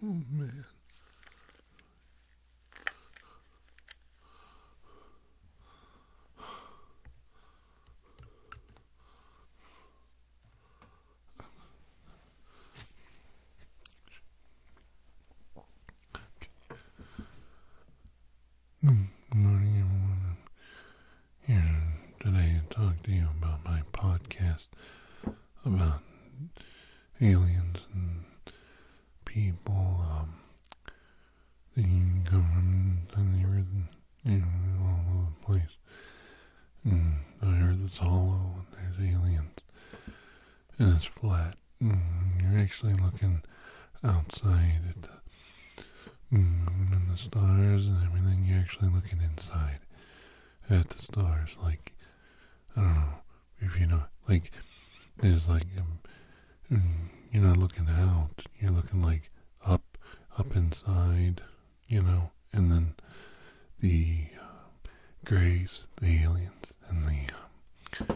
Oh, man. Good morning, everyone here today to talk to you about my podcast about aliens and people. Um, that you come from the earth and, you know, all over the place. And the earth is hollow and there's aliens. And it's flat. And you're actually looking outside at the moon mm, and the stars and everything. You're actually looking inside at the stars. Like, I don't know if you know, like, there's like, um, mm, you're not looking out. You're looking like up, up inside, you know, and then the uh, greys, the aliens, and the uh,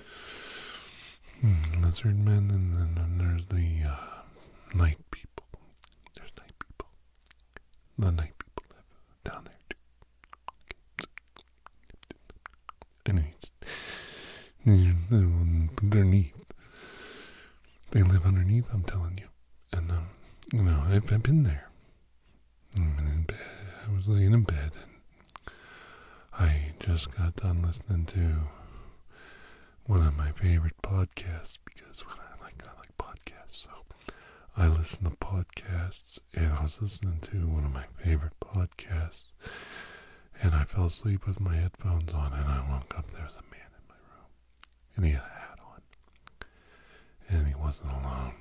hmm, lizard men, and then there's the uh, night people. There's night people. The night people live down there too. Anyways, underneath. They live underneath, I'm telling you. And, um, you know, I've, I've been there. I was laying in bed and I just got done listening to one of my favorite podcasts because when I like I like podcasts, so I listen to podcasts and I was listening to one of my favorite podcasts and I fell asleep with my headphones on and I woke up there was a man in my room and he had a hat on and he wasn't alone.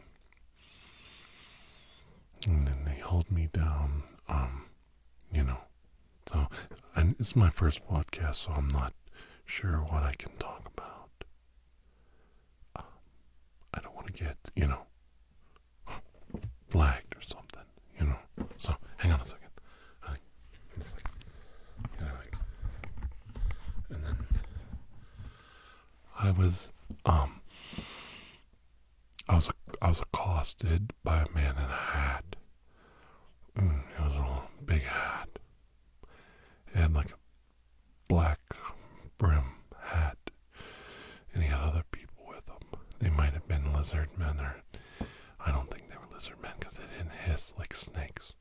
And then they held me down, um, you know. So and it's my first podcast, so I'm not sure what I can talk about. Um, I don't want to get, you know, flagged or something, you know. So, hang on a second. I and then I was, um, I was, I was accosted by a man in a hat. Mm, it was a big hat. It had like a black brim hat, and he had other people with him. They might have been lizard men, or I don't think they were lizard men because they didn't hiss like snakes.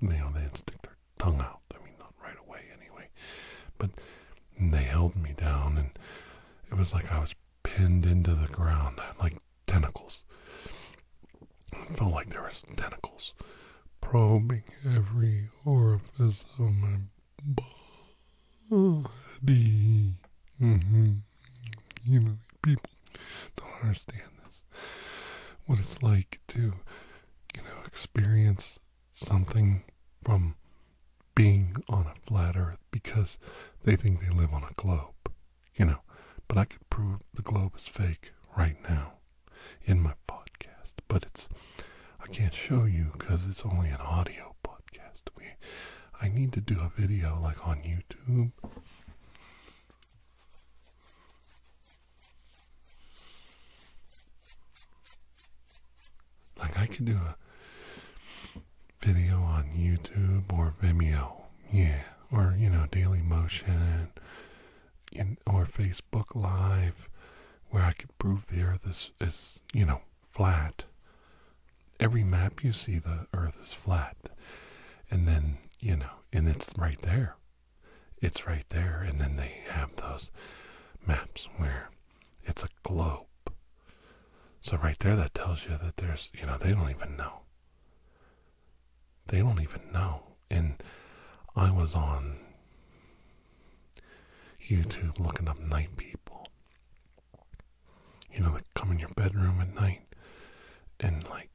You know, they didn't stick their tongue out. I mean, not right away anyway. But they held me down, and it was like I was pinned into the ground. like tentacles. It felt like there was tentacles probing every orifice of my body. Mm-hmm. You know, people don't understand this. What it's like to, you know, experience something from being on a flat earth because they think they live on a globe, you know. But I could prove the globe is fake right now in my podcast, but it's I can't show you because it's only an audio podcast. We I need to do a video like on YouTube. Like I could do a video on YouTube or Vimeo, yeah, or you know Daily Motion, and in, or Facebook Live, where I could prove the Earth is, is, you know, flat. Every map you see, the Earth is flat. And then, you know, and it's right there. It's right there. And then they have those maps where it's a globe. So right there, that tells you that there's, you know, they don't even know. They don't even know. And I was on YouTube looking up night people. You know, they come in your bedroom at night and like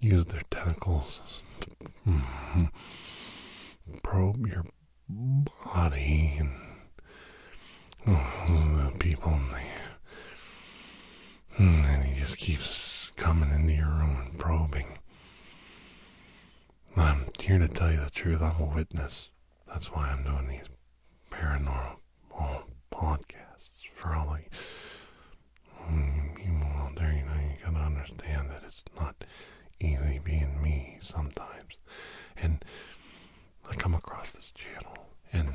use their tentacles to mm-hmm, probe your body and oh, the people and the Hmm, and he just keeps coming into your room and probing. I'm here to tell you the truth. I'm a witness. That's why I'm doing these paranormal podcasts for all the hmm, People out there, you know, you gotta understand that it's not easy being me sometimes. And I come across this channel and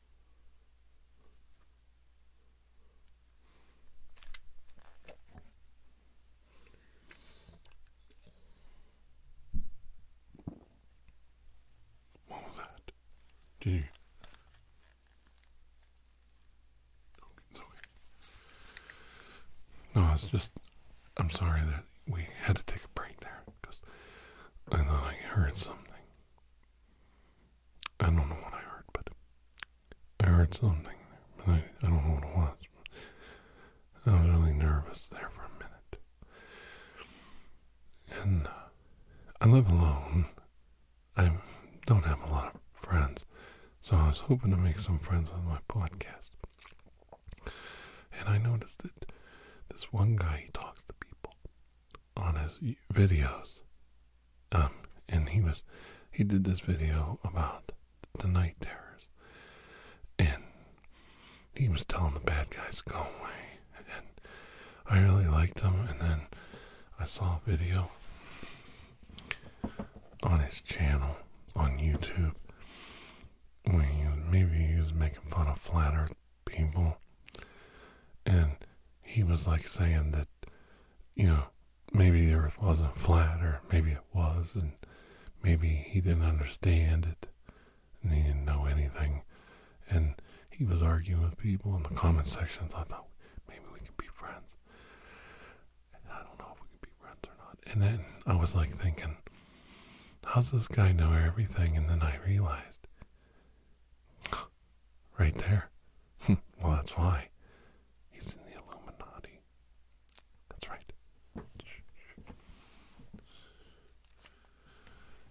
What was that? Did you? No, it's just. I'm sorry that we had to take a break there because I thought I heard something. I don't know what I heard, but I heard something, but I, I don't know what it was. I was really nervous there for a minute. And uh, I live alone. I don't have a lot of friends, so I was hoping to make some friends with my podcast. And I noticed that this one guy, he talks to people on his videos. Um, and he was, he did this video about the night terrors, and he was telling the bad guys go away. And I really liked him. And then I saw a video on his channel on YouTube where maybe he was making fun of flat Earth people. And he was like saying that, you know, maybe the earth wasn't flat or maybe it was and maybe he didn't understand it and he didn't know anything. And he was arguing with people in the comment sections. I thought maybe we could be friends. And I don't know if we could be friends or not. And then I was like thinking, how's this guy know everything? And then I realized right there. well, that's why he's in the Illuminati. That's right.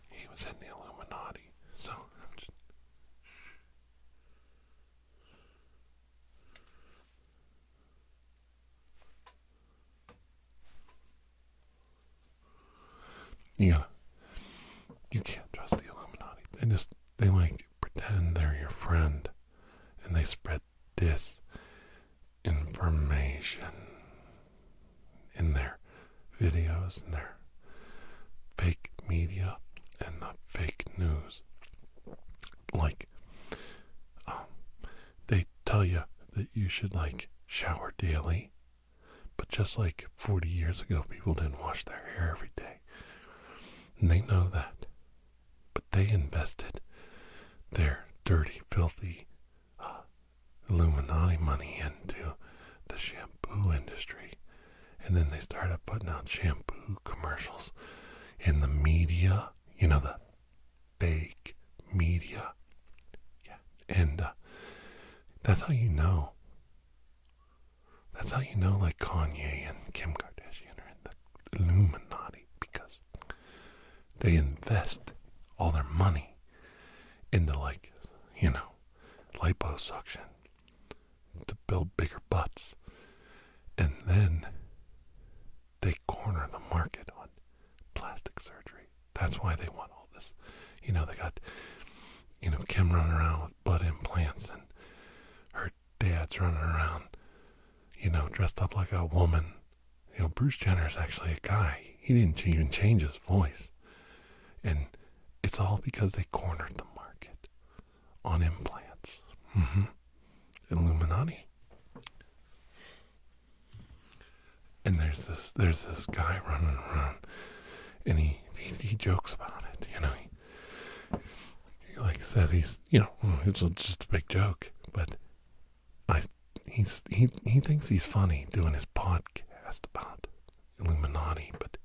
He was in the Illuminati. So yeah. you can't trust the Illuminati. They just, they like pretend they're your friend and they spread information in their videos and their fake media and the fake news. Like, um, they tell you that you should like shower daily but just like 40 years ago, people didn't wash their hair every day. And they know that. But they invested their dirty, filthy uh, Illuminati money into the shampoo industry. And then they started putting out shampoo commercials in the media, you know, the fake media. Yeah. And uh, that's how you know that's how you know, like, Kanye and Kim Kardashian are in the Illuminati because they invest all their money into, like, you know, liposuction to build bigger butts. And then they corner the market on plastic surgery. That's why they want all this. You know, they got you know, Kim running around with butt implants and her dad's running around, you know, dressed up like a woman. You know, Bruce Jenner's actually a guy. He didn't even change his voice. And it's all because they cornered the market on implants. hmm Illuminati. And there's this there's this guy running around and he, he, jokes about it, you know like says he's you know oh, it's just a big joke, but I he's he he thinks he's funny doing his podcast about Illuminati, but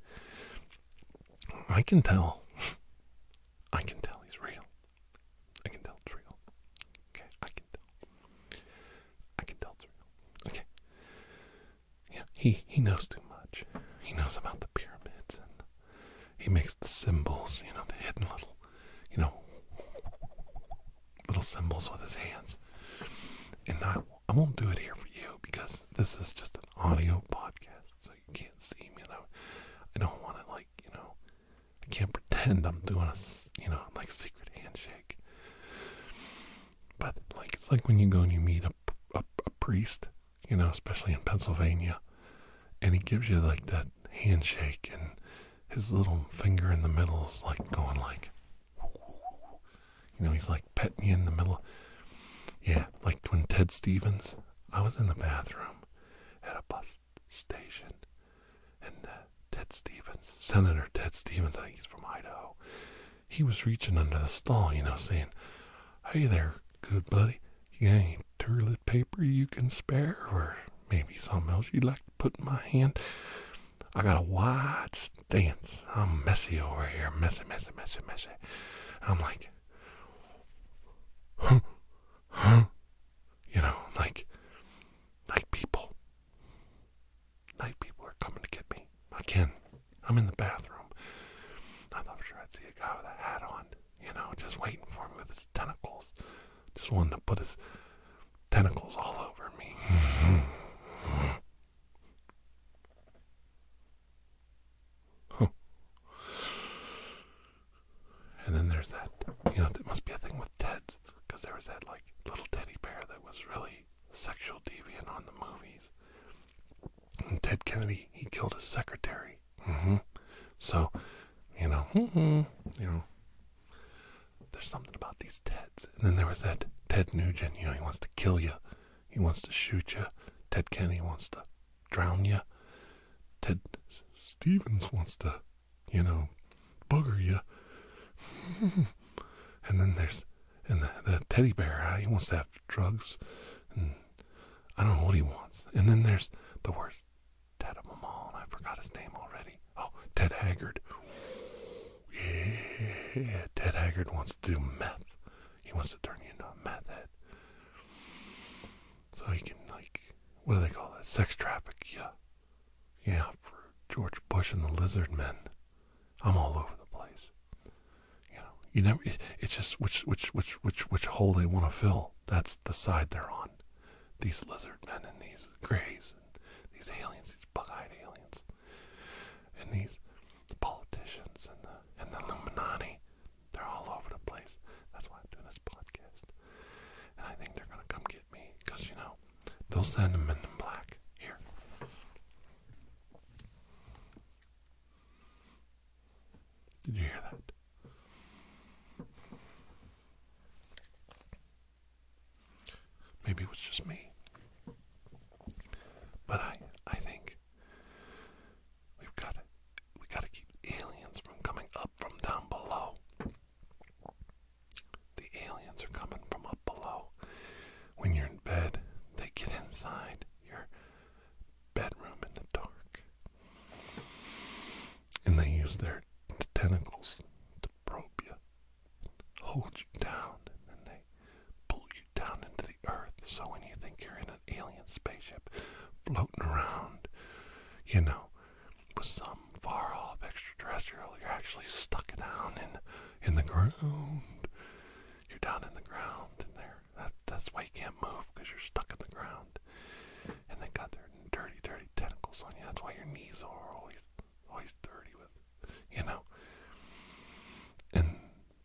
I can tell. I can tell he's real. I can tell real. Okay, I can tell. I can tell real. Okay. Yeah, he he knows too much. He knows about the pyramids and he makes the symbols, you know, the hidden little, you know, little symbols with his hands. And I, I won't do it here for you because this is just an audio podcast, so you can't see me. And I, I don't want to, like, you know, I can't pretend I'm doing a, you know, like a secret handshake. But, like, it's like when you go and you meet a, a, a priest you know, especially in Pennsylvania. And he gives you like that handshake and his little finger in the middle's like going like you know, he's like petting you in the middle. Yeah, like when Ted Stevens, I was in the bathroom at a bus station, and uh, Ted Stevens, Senator Ted Stevens, I think he's from Idaho, he was reaching under the stall, you know, saying, Hey there, good buddy, you got any toilet paper you can spare, or maybe something else you'd like to put in my hand? I got a wide stance. I'm messy over here, messy, messy, messy, messy. I'm like, huh, huh, you know, like, like people, like people are coming to get me. I can I'm in the bathroom. I thought sure I'd see a guy with a hat on, you know, just waiting for me with his tentacles. Just wanted to put his tentacles all over me. And then there's that, you know, there must be a thing with Ted's, because there was that, like, little teddy bear that was really sexual deviant on the movies. Ted Kennedy, he killed his secretary. Mm-hmm. So, you know, mm-hmm, you know, there's something about these Teds. And then there was that Ted Nugent. You know, he wants to kill you. He wants to shoot you. Ted Kennedy wants to drown you. Ted Stevens wants to, you know, bugger you. and then there's and the, the teddy bear. He wants to have drugs I don't know what he wants. And then there's the worst dad of them all, I forgot his name already. Oh, Ted Haggard. Yeah, Ted Haggard wants to do meth. He wants to turn you into a meth head. So he can, like, what do they call that? Sex traffic, yeah. Yeah, for George Bush and the lizard men. I'm all over the place. You know, you never. it's just which which which which which hole they want to fill. That's the side they're on. These lizard men and these greys and these aliens, these bug-eyed aliens, and these politicians and the and the Illuminati. They're all over the place. That's why I'm doing this podcast. And I think they're gonna come get me because you know they'll send them in black here. Did you hear that? Maybe it was just me. But I I think we've got to we got to keep aliens from coming up from down below. The aliens are coming from up below. When you're in bed, they get inside your bedroom in the dark. And they use their tentacles to probe you, hold you down, and they pull you down into the earth. So when you think you're in an alien spaceship floating around, you know, with some far off extraterrestrial, you're actually stuck down in in the ground. You're down in the ground and they that, that's why you can't move because you're stuck in the ground. And they got their dirty, dirty tentacles on you. That's why your knees are always, always dirty with, you know. And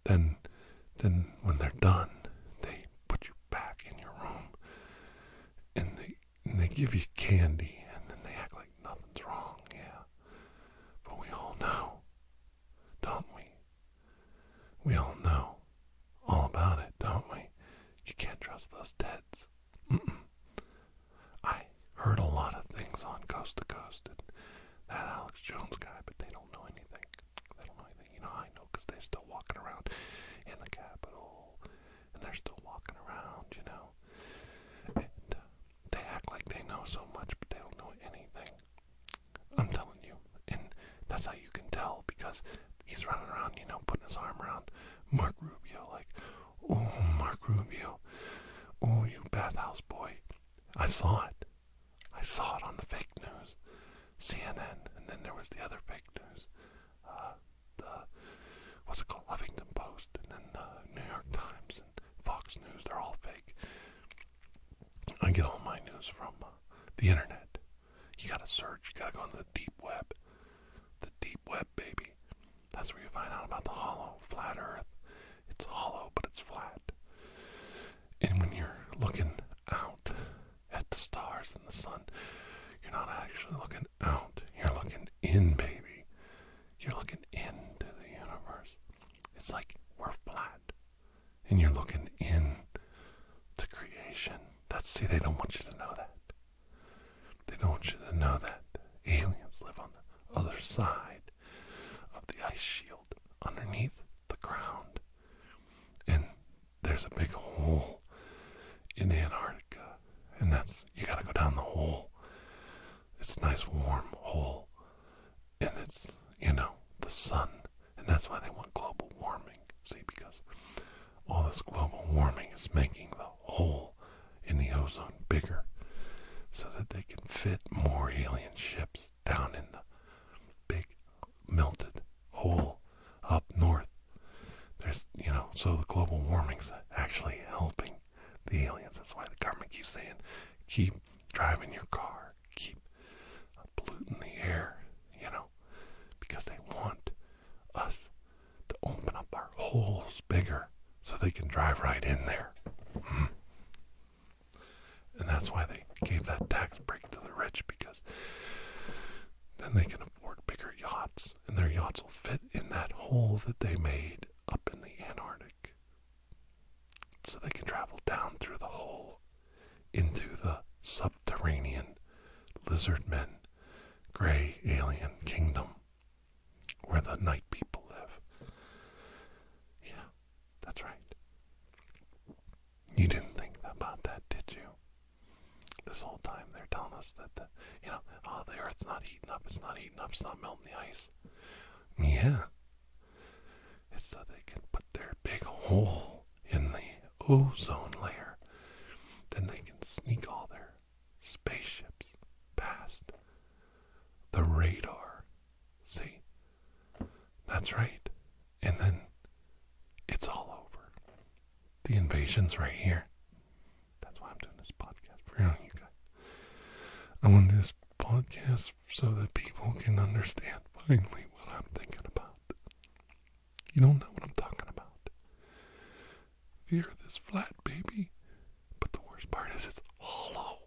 then, then when they're done, they put you back in your room, and they and they give you candy, and then they act like nothing's wrong. Yeah, but we all know, don't we? We all know all about it, don't we? You can't trust those deads. I heard a lot of things on Coast to Coast and that Alex Jones guy, but they don't know anything. They don't know anything. You know, I know because they're still walking around in the Capitol and they're still walking around, you know. And uh, they act like they know so much, but they don't know anything. I'm telling you. And that's how you can tell because he's running around, you know, putting his arm around Mark Rubio, like, oh, Mark Rubio, oh, you bathhouse boy. I saw it. I saw it on the fake news, CNN, and then there was the other fake news, uh, the what's it called, Huffington Post, and then the New York Times and Fox News. They're all fake. I get all my news from uh, the internet, you gotta search. You gotta go into the deep web. The deep web, baby. That's where you find out about the hollow, flat earth. It's hollow, but it's flat. And when you're looking out at the stars and the sun, you're not actually looking out. You're looking in, baby. You're looking into the universe. It's like we're flat and you're looking in to creation. That's see, they don't want you to know that. They don't want you to know that aliens live on the other side of the ice shield, underneath the ground. And there's a big hole in Antarctica. And that's you gotta go down the hole. It's a nice warm hole. And it's you know, the sun and that's why they want global warming. See, because all this global warming is making the hole in the ozone bigger so that they can fit more alien ships down in the big melted hole up north. There's, you know, so the global warming's actually helping the aliens. That's why the government keeps saying, keep driving your car, keep polluting the air, you know, because they want us to open up our holes bigger so they can drive right in there. Hmm. And that's why they gave that tax break to the rich because then they can afford bigger yachts and their yachts will fit in that hole that they made up in the Antarctic. So they can travel down through the hole into the subterranean lizard men, gray alien kingdom where the night people live. Yeah, that's right. You didn't think about that, did you? This whole time they're telling us that the you know, oh the earth's not heating up, it's not heating up, it's not melting the ice. Yeah so they can put their big hole in the ozone layer. Then they can sneak all their spaceships past the radar. See? That's right. And then it's all over. The invasion's right here. That's why I'm doing this podcast for you guys. I want this podcast so that people can understand finally what I'm thinking about. You don't know what I'm talking about. The earth is flat, baby. But the worst part is it's hollow.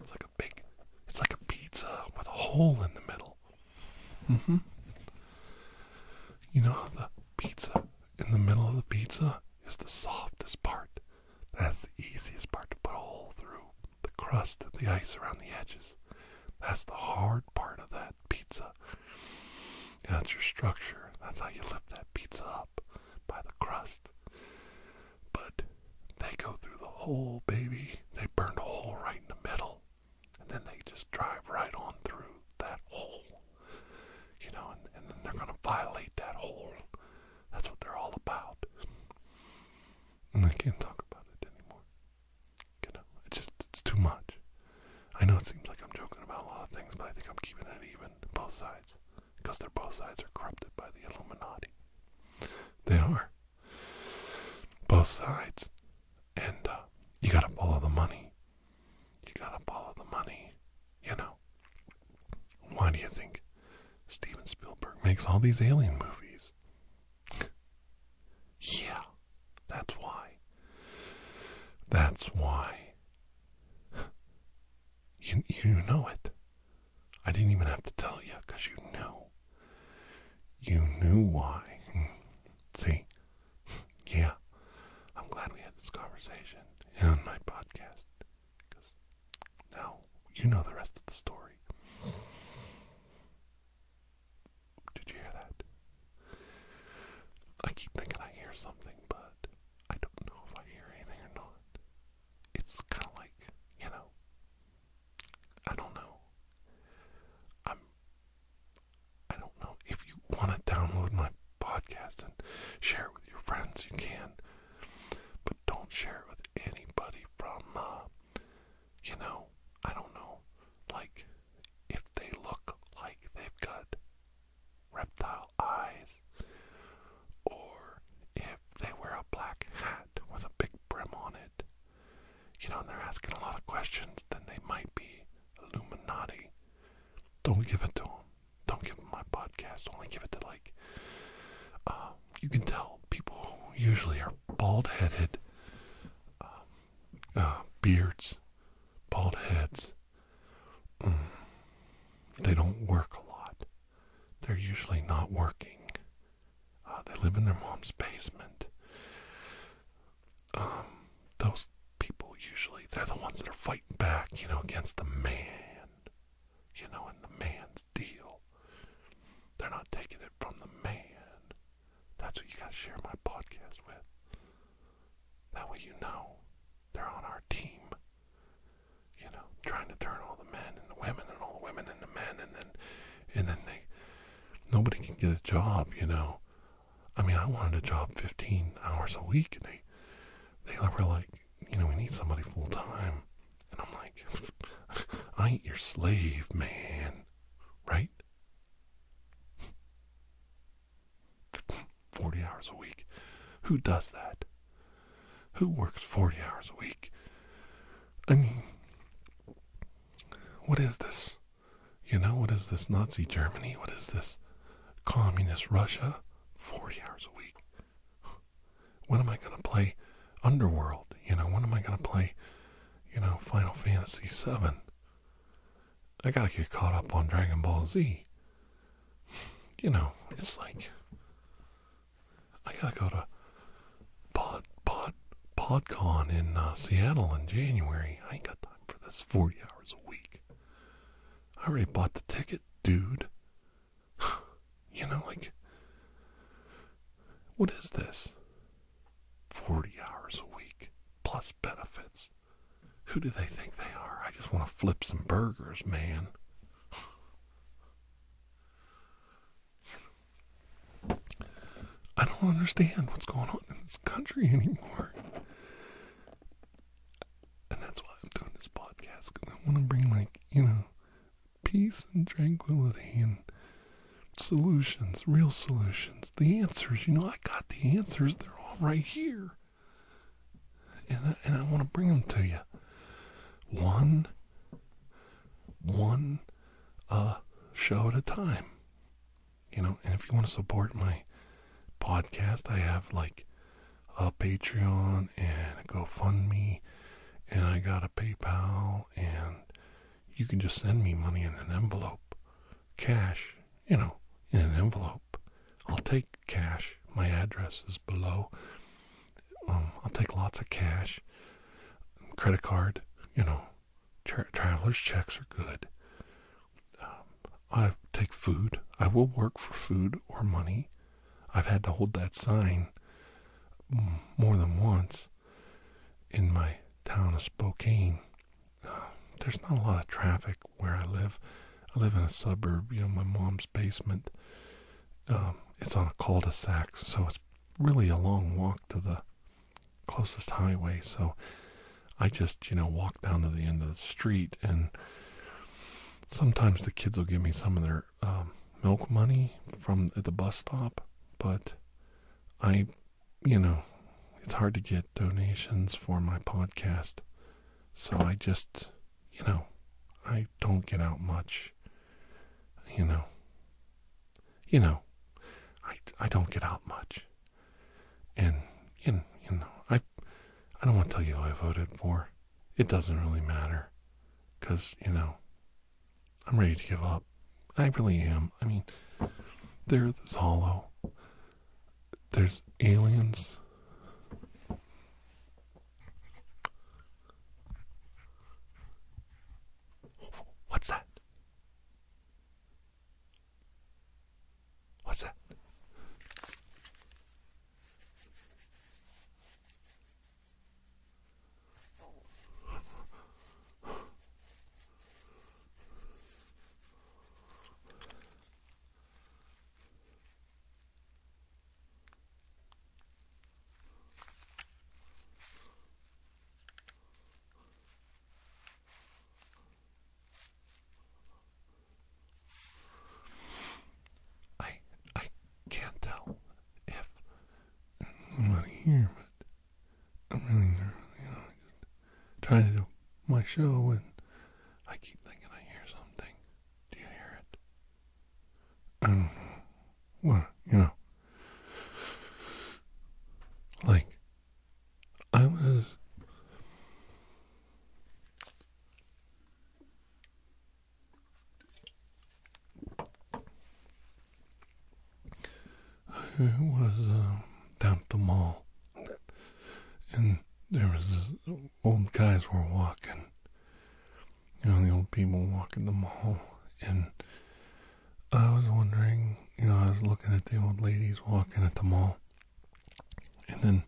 It's like a big, it's like a pizza with a hole in the middle. Mm-hmm. You know how the pizza, in the middle of the pizza, is the softest part. That's the easiest part to put a hole through. The crust and the ice around the edges. That's the hard part of that pizza. that's your structure. That's how you lift that pizza up by the crust. But they go through the hole, baby. They burned a hole right in the middle. And then they just drive right on through that hole. You know, and, and then they're going to violate that hole. That's what they're all about. And I can't talk about it anymore. You know, it's just it's too much. I know it seems like I'm joking about a lot of things, but I think I'm keeping it even both sides because they're both sides are corrupted by the Illuminati. They are both sides, and uh, you gotta follow the money. You gotta follow the money. You know. Why do you think Steven Spielberg makes all these alien movies? Yeah, that's why. That's why. You, you know it. I didn't even have to tell you because you knew. You knew why. See? Yeah. I'm glad we had this conversation on my podcast now you know the rest of the story. Did you hear that? I keep thinking I hear something, but I don't know if I hear anything or not. It's kind of like, you know, I don't know. I'm, I don't know. If you want to download my podcast and share it with your friends, you can. But don't share it with anybody from uh, you know, I don't know, like if they look like they've got reptile eyes, or if they wear a black hat with a big brim on it, you know, and they're asking a lot of questions, then they might be Illuminati. Don't give it to them. Don't give my podcast. Only give it to, like, uh, you can tell people who usually are bald headed. Um, Ah, beards, bald heads, mm. they don't work a lot. They're usually not working. Ah, they live in their mom's basement. Um, those people usually, they're the ones that are fighting back, you know, against the man, you know, in the man's deal. They're not taking it from the man. That's what you gotta share my podcast with. That way you know they're on our team. You know, trying to turn all the men and the women and all the women and the men and then and then they nobody can get a job, you know. I mean I wanted a job fifteen hours a week they they were like, you know, we need somebody full time and I'm like I ain't your slave, man. Right? 40 hours a week. Who does that? Who works 40 hours a week? I mean, what is this? You know, what is this Nazi Germany? What is this communist Russia? 40 hours a week. When am I going to play Underworld? You know, when am I going to play, you know, Final Fantasy 7? I gotta get caught up on Dragon Ball Z. You know, it's like I gotta go to Pod Pod PodCon in uh, Seattle in January. I ain't got time for this forty hours a week. I already bought the ticket, dude. you know, like what is this? 40 hours a week plus benefits. Who do they think they are? I just want to flip some burgers, man. I don't understand what's going on in this country anymore. And that's why I'm doing this podcast because I want to bring, like, you know, peace and tranquility and solutions, real solutions, the answers. You know, I got the answers. They're all right here. And I, and I want to bring them to you. One, one uh, show at a time. You know, and if you want to support my podcast, I have like a Patreon and GoFundMe, and I got a PayPal, and you can just send me money in an envelope. Cash, you know, in an envelope. I'll take cash. My address is below. Um, I'll take lots of cash. Credit card, you know, traveler's checks are good. Um, I take food. I will work for food or money. I've had to hold that sign mm, more than once in my town of Spokane uh, there's not a lot of traffic where I live. I live in a suburb, you know, my mom's basement. Um, it's on a cul-de-sac, so it's really a long walk to the closest highway. So I just, you know, walk down to the end of the street, and sometimes the kids will give me some of their um, milk money from the bus stop, but I you know, it's hard to get donations for my podcast. So I just, you know, I don't get out much. You know, you know, I, I don't get out much. And, you, you know, I, I don't want to tell you who I voted for. It doesn't really matter. Because, you know, I'm ready to give up. I really am. I mean, there's this hollow. There's aliens. What's that? What's that? I I can't tell if anyone here, but I'm really you know, trying to do my show and I keep thinking I hear something. Do you hear it? And do Well, you know. Like I was I was uh, down at the mall, and there was old guys were walking. You know, the old people walking the mall, and I was wondering. You know, I was looking at the old ladies walking at the mall, and then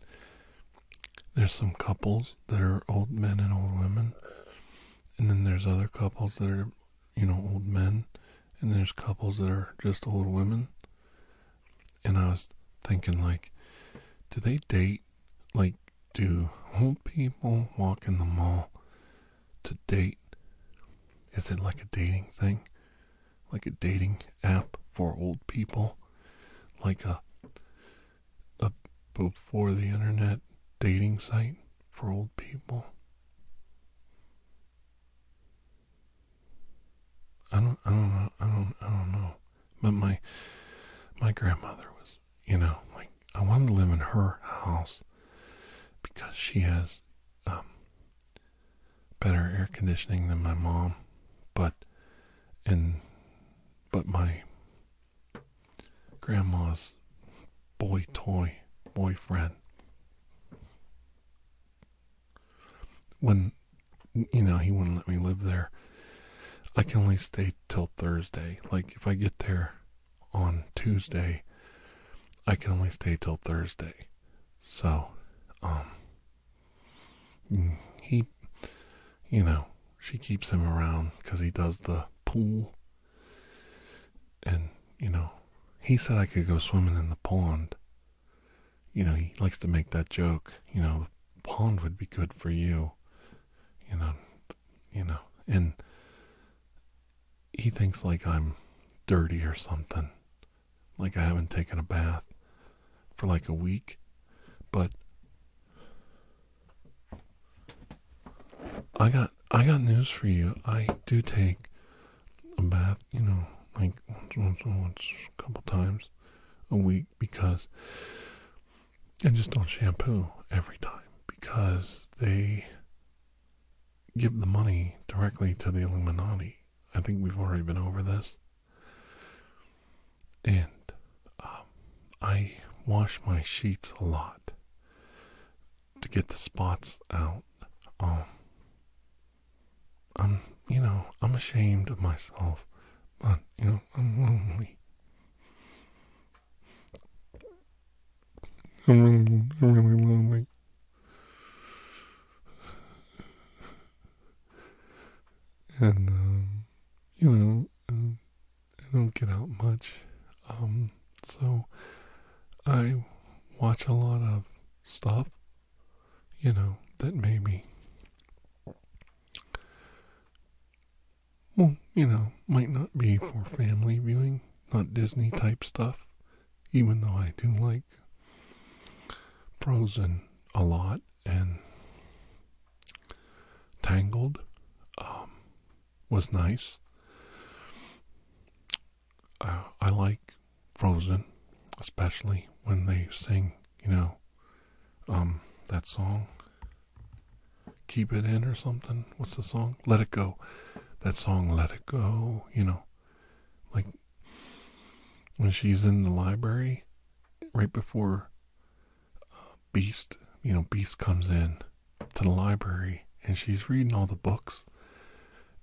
there's some couples that are old men and old women, and then there's other couples that are, you know, old men and there's couples that are just old women. And I was thinking, like, do they date? Like, do old people walk in the mall to date? Is it like a dating thing? Like a dating app for old people? Like a, a before the internet dating site for old people? I don't, I don't know, I don't, I don't know. But my, my grandmother was, you know, like I wanted to live in her house because she has um, better air conditioning than my mom, but and but my grandma's boy toy boyfriend when you know he wouldn't let me live there i can only stay till thursday like if i get there on tuesday i can only stay till thursday so um mm, he you know she keeps him around because he does the pool and you know he said i could go swimming in the pond you know, he likes to make that joke, you know, the pond would be good for you, you know, you know, and he thinks like I'm dirty or something, like I haven't taken a bath for like a week, but I got I got news for you. I do take a bath, you know, like once, once, once, a couple times a week because, and just don't shampoo every time because they give the money directly to the Illuminati. I think we've already been over this. And um, I wash my sheets a lot to get the spots out. Um, I'm, you know, I'm ashamed of myself, but, you know, I'm lonely. I'm really, I'm really lonely. And, um, you know, um, I don't get out much. Um, so I watch a lot of stuff you know, that made me, well, you know, might not be for family viewing, not Disney type stuff, even though I do like Frozen a lot and Tangled um, was nice. Uh, I like Frozen, especially when they sing, you know, um, that song, Keep It In or something. What's the song? Let It Go. That song, Let It Go, you know, like when she's in the library right before uh, Beast, you know, Beast comes in to the library and she's reading all the books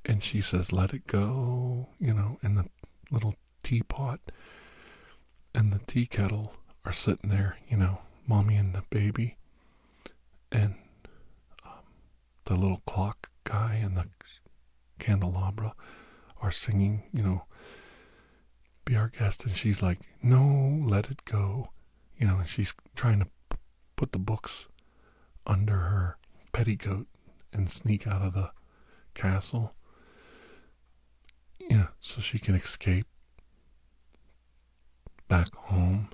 and she says, Let It Go, you know, and the little teapot and the tea kettle are sitting there, you know, mommy and the baby, and um, the little clock guy and the candelabra are singing, you know, be our guest. And she's like, no, let it go. You know, and she's trying to put the books under her petticoat and sneak out of the castle. Yeah, so she can escape back home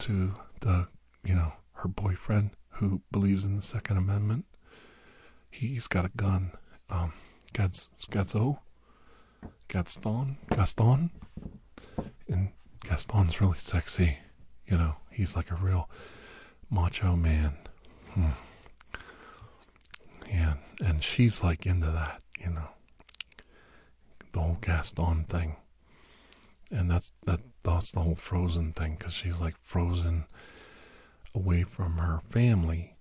to the, you know, her boyfriend who believes in the Second Amendment. He's got a gun. Um, Gadzo, Gaston, Gaston, and Gaston's really sexy. You know, he's like a real macho man. Hmm. and she's like into that, you know. The whole Gaston thing. And that's that that's the whole frozen thing cuz she's like frozen away from her family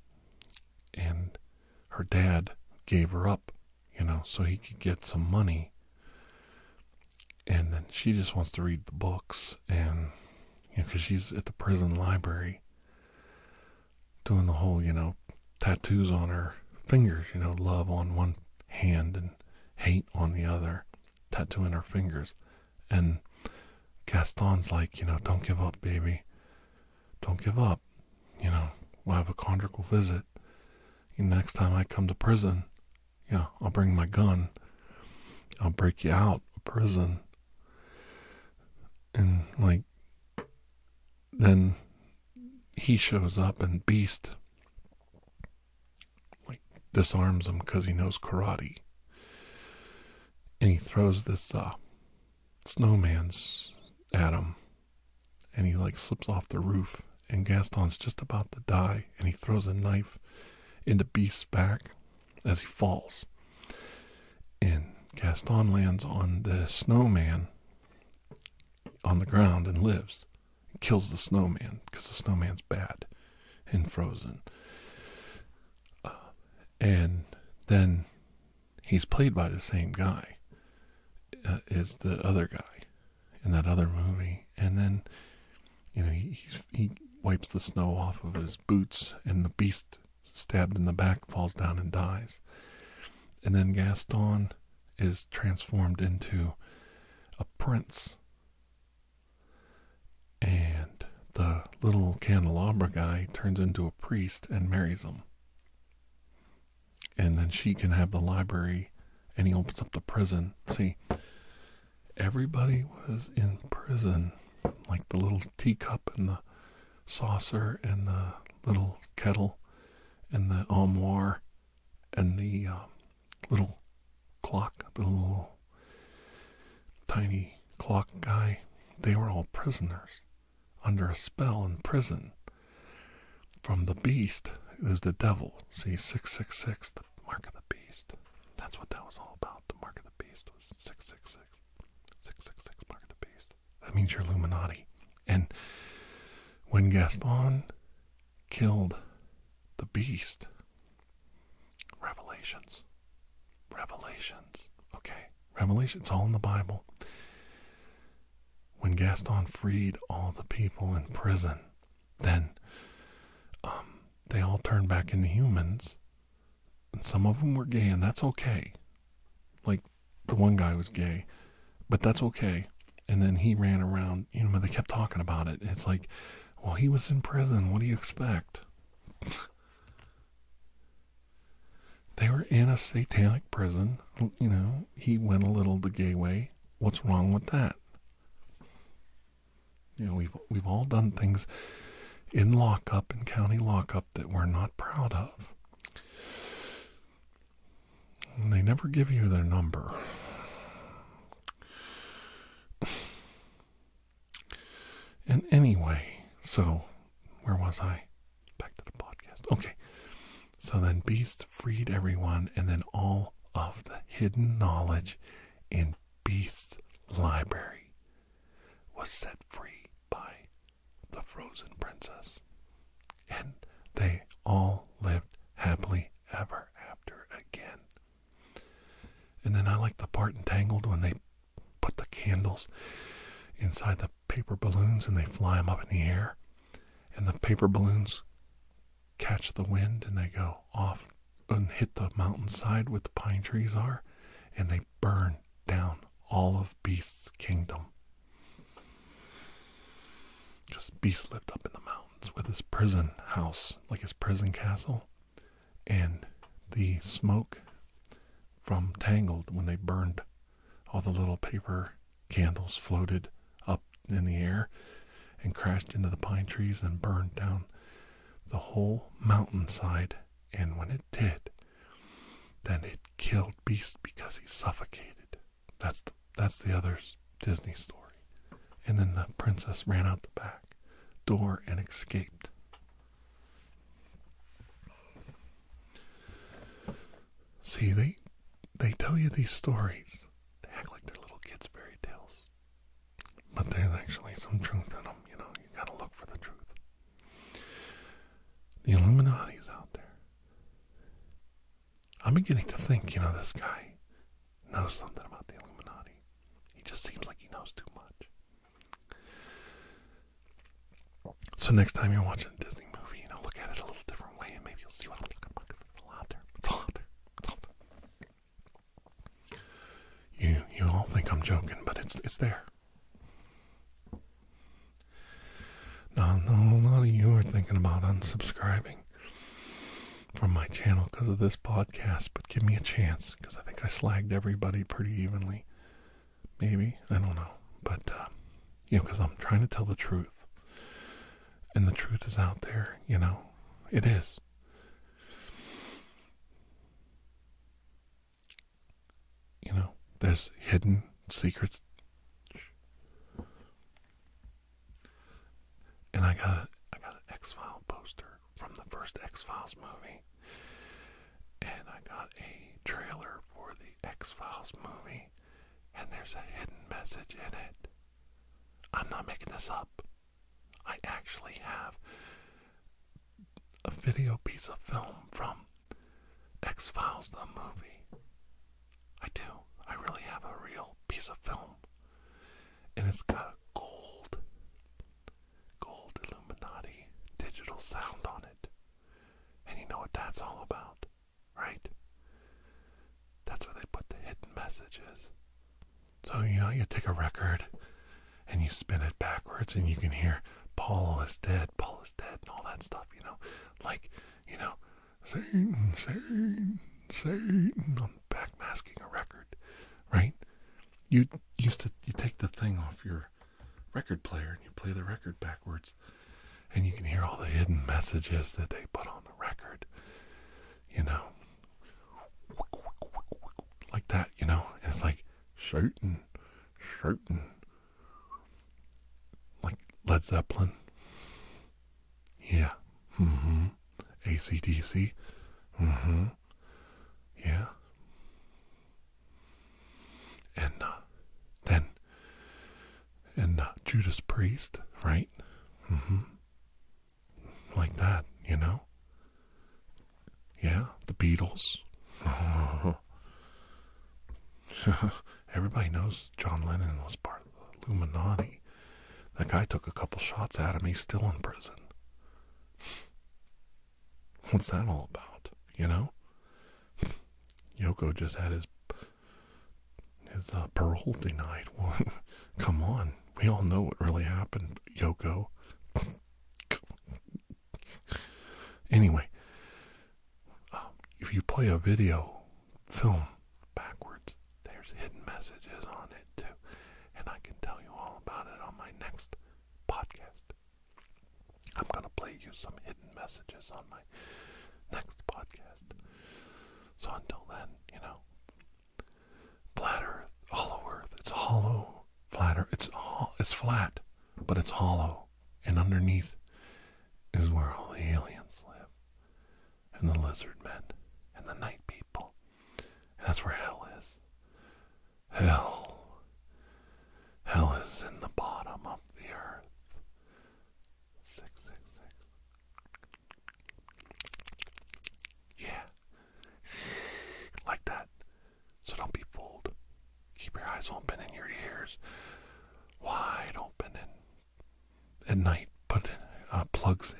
and her dad gave her up, you know, so he could get some money. And then she just wants to read the books and you know, because she's at the prison library doing the whole, you know, tattoos on her fingers, you know, love on one hand and hate on the other, tattooing her fingers. And Gaston's like, you know, don't give up, baby. Don't give up. You know, we'll have a conjugal visit. And next time I come to prison, you know, I'll bring my gun. I'll break you out of prison and like then he shows up and Beast like disarms him because he knows karate. And he throws this uh snowman's at him and he like slips off the roof and Gaston's just about to die and he throws a knife into Beast's back as he falls. And Gaston lands on the snowman on the ground and lives. He kills the snowman because the snowman's bad and frozen. Uh, and then he's played by the same guy uh, as the other guy in that other movie. And then, you know, he, he wipes the snow off of his boots, and the beast stabbed in the back, falls down and dies. And then Gaston is transformed into a prince. And the little candelabra guy turns into a priest and marries him. And then she can have the library and he opens up the prison. See, everybody was in prison like the little teacup and the saucer and the little kettle and the armoire and the um, little clock, the little tiny clock guy, they were all prisoners under a spell in prison from the beast is the devil. See, 666, the mark of the beast. That's what that was all about. The mark of the beast was 666. Six, six, six, mark the beast. That means you're Illuminati. And when Gaston killed the beast, revelations, revelations, okay, revelations, all in the Bible. When Gaston freed all the people in prison, then um, they all turned back into humans and some of them were gay, and that's okay. Like the one guy was gay, but that's okay. And then he ran around, you know, but they kept talking about it. It's like, well, he was in prison. What do you expect? they were in a satanic prison. You know, he went a little the gay way. What's wrong with that? You know, we've we've all done things in lockup, in county lockup, that we're not proud of. they never give you their number. And anyway, so where was I? Back to the podcast. Okay. So then Beast freed everyone, and then all of the hidden knowledge in Beast's library was set free by the frozen princess. And they all lived happily ever after again. And then I like the part entangled when they put the candles inside the paper balloons and they fly them up in the air. And the paper balloons catch the wind and they go off and hit the mountainside where the pine trees are and they burn down all of Beast's kingdom. Just Beast lived up in the mountains with his prison house, like his prison castle, and the smoke from Tangled when they burned all the little paper candles floated up in the air and crashed into the pine trees and burned down the whole mountainside and when it did, then it killed Beast because he suffocated. That's the, that's the other Disney story. And then the princess ran out the back door and escaped. See, they they tell you these stories. They act like they're little kids' fairy tales, but there's actually some truth in them. You know, you gotta look for the truth. The Illuminati's out there. I'm beginning to think, you know, this guy knows something about the Illuminati. He just seems like he knows too much. So next time you're watching a Disney movie, you know, look at it a little different way and maybe you'll see what I'm talking about it's all out there. It's all out there. It's all there. You, you all think I'm joking, but it's, it's there. Now, a lot of you are thinking about unsubscribing from my channel because of this podcast, but give me a chance because I think I slagged everybody pretty evenly. Maybe. I don't know. But, uh, you know, because I'm trying to tell the truth. And the truth is out there, you know. It is you know, there's hidden secrets. And I got a, I got an X File poster from the first X Files movie, and I got a trailer for the X Files movie, and there's a hidden message in it. I'm not making this up. I actually have a video piece of film from X Files the movie. I do. I really have a real piece of film. And it's got a gold, gold Illuminati digital sound on it. And you know what that's all about, right? That's where they put the hidden messages. So, you know, you take a record, and you spin it backwards and you can hear Paul is dead, Paul is dead, and all that stuff, you know. Like, you know, Satan, Satan, Satan i backmasking a record, right? You used to you take the thing off your record player and you play the record backwards and you can hear all the hidden messages that they put on the record. You know. Like that, you know? it's like Satan, Satan, like Led Zeppelin. Yeah. Mm-hmm. ACDC. Mm-hmm. Yeah. And uh, then, and uh, Judas Priest, right? Mm-hmm. Like that, you know? Yeah, the Beatles. Everybody knows John Lennon was part of the Illuminati. That guy took a couple shots at him. He's still in prison. What's that all about? You know? Yoko just had his his uh, parole denied. come on, we all know what really happened, Yoko. Anyway, um, if you play a video film backwards, there's hidden messages on it too, and I can tell you all about it on my next podcast. I'm gonna play you some hidden messages on my next podcast. So until then, you know, flat Earth, hollow Earth, it's hollow, flatter. it's all, it's flat, but it's hollow and underneath is where all the aliens live, and the lizard men, and the night people. And that's where hell is. Hell. Hell is in the bottom of the earth. Six, six, six. Yeah. like that. So don't be fooled. Keep your eyes open and your ears wide open. And at night, put in, uh, plugs in.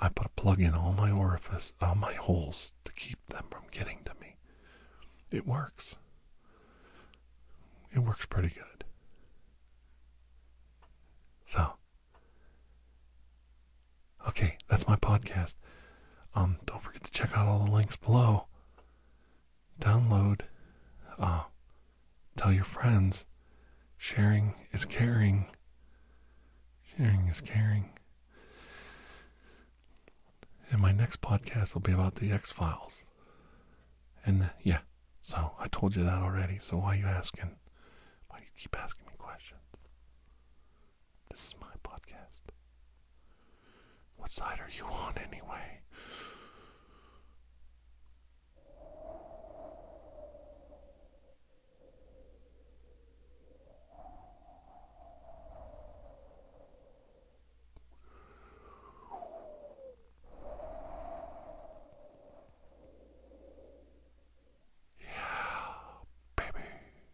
I put a plug in all my orifice, all my holes to keep them from getting to me. It works. It works pretty good. So, okay, that's my podcast. Um, don't forget to check out all the links below download, uh, tell your friends. Sharing is caring. Sharing is caring. And my next podcast will be about the X Files. And uh, yeah, so I told you that already. So why are you asking? Why do you keep asking me questions? This is my podcast. What side are you on anyway? Yeah, baby.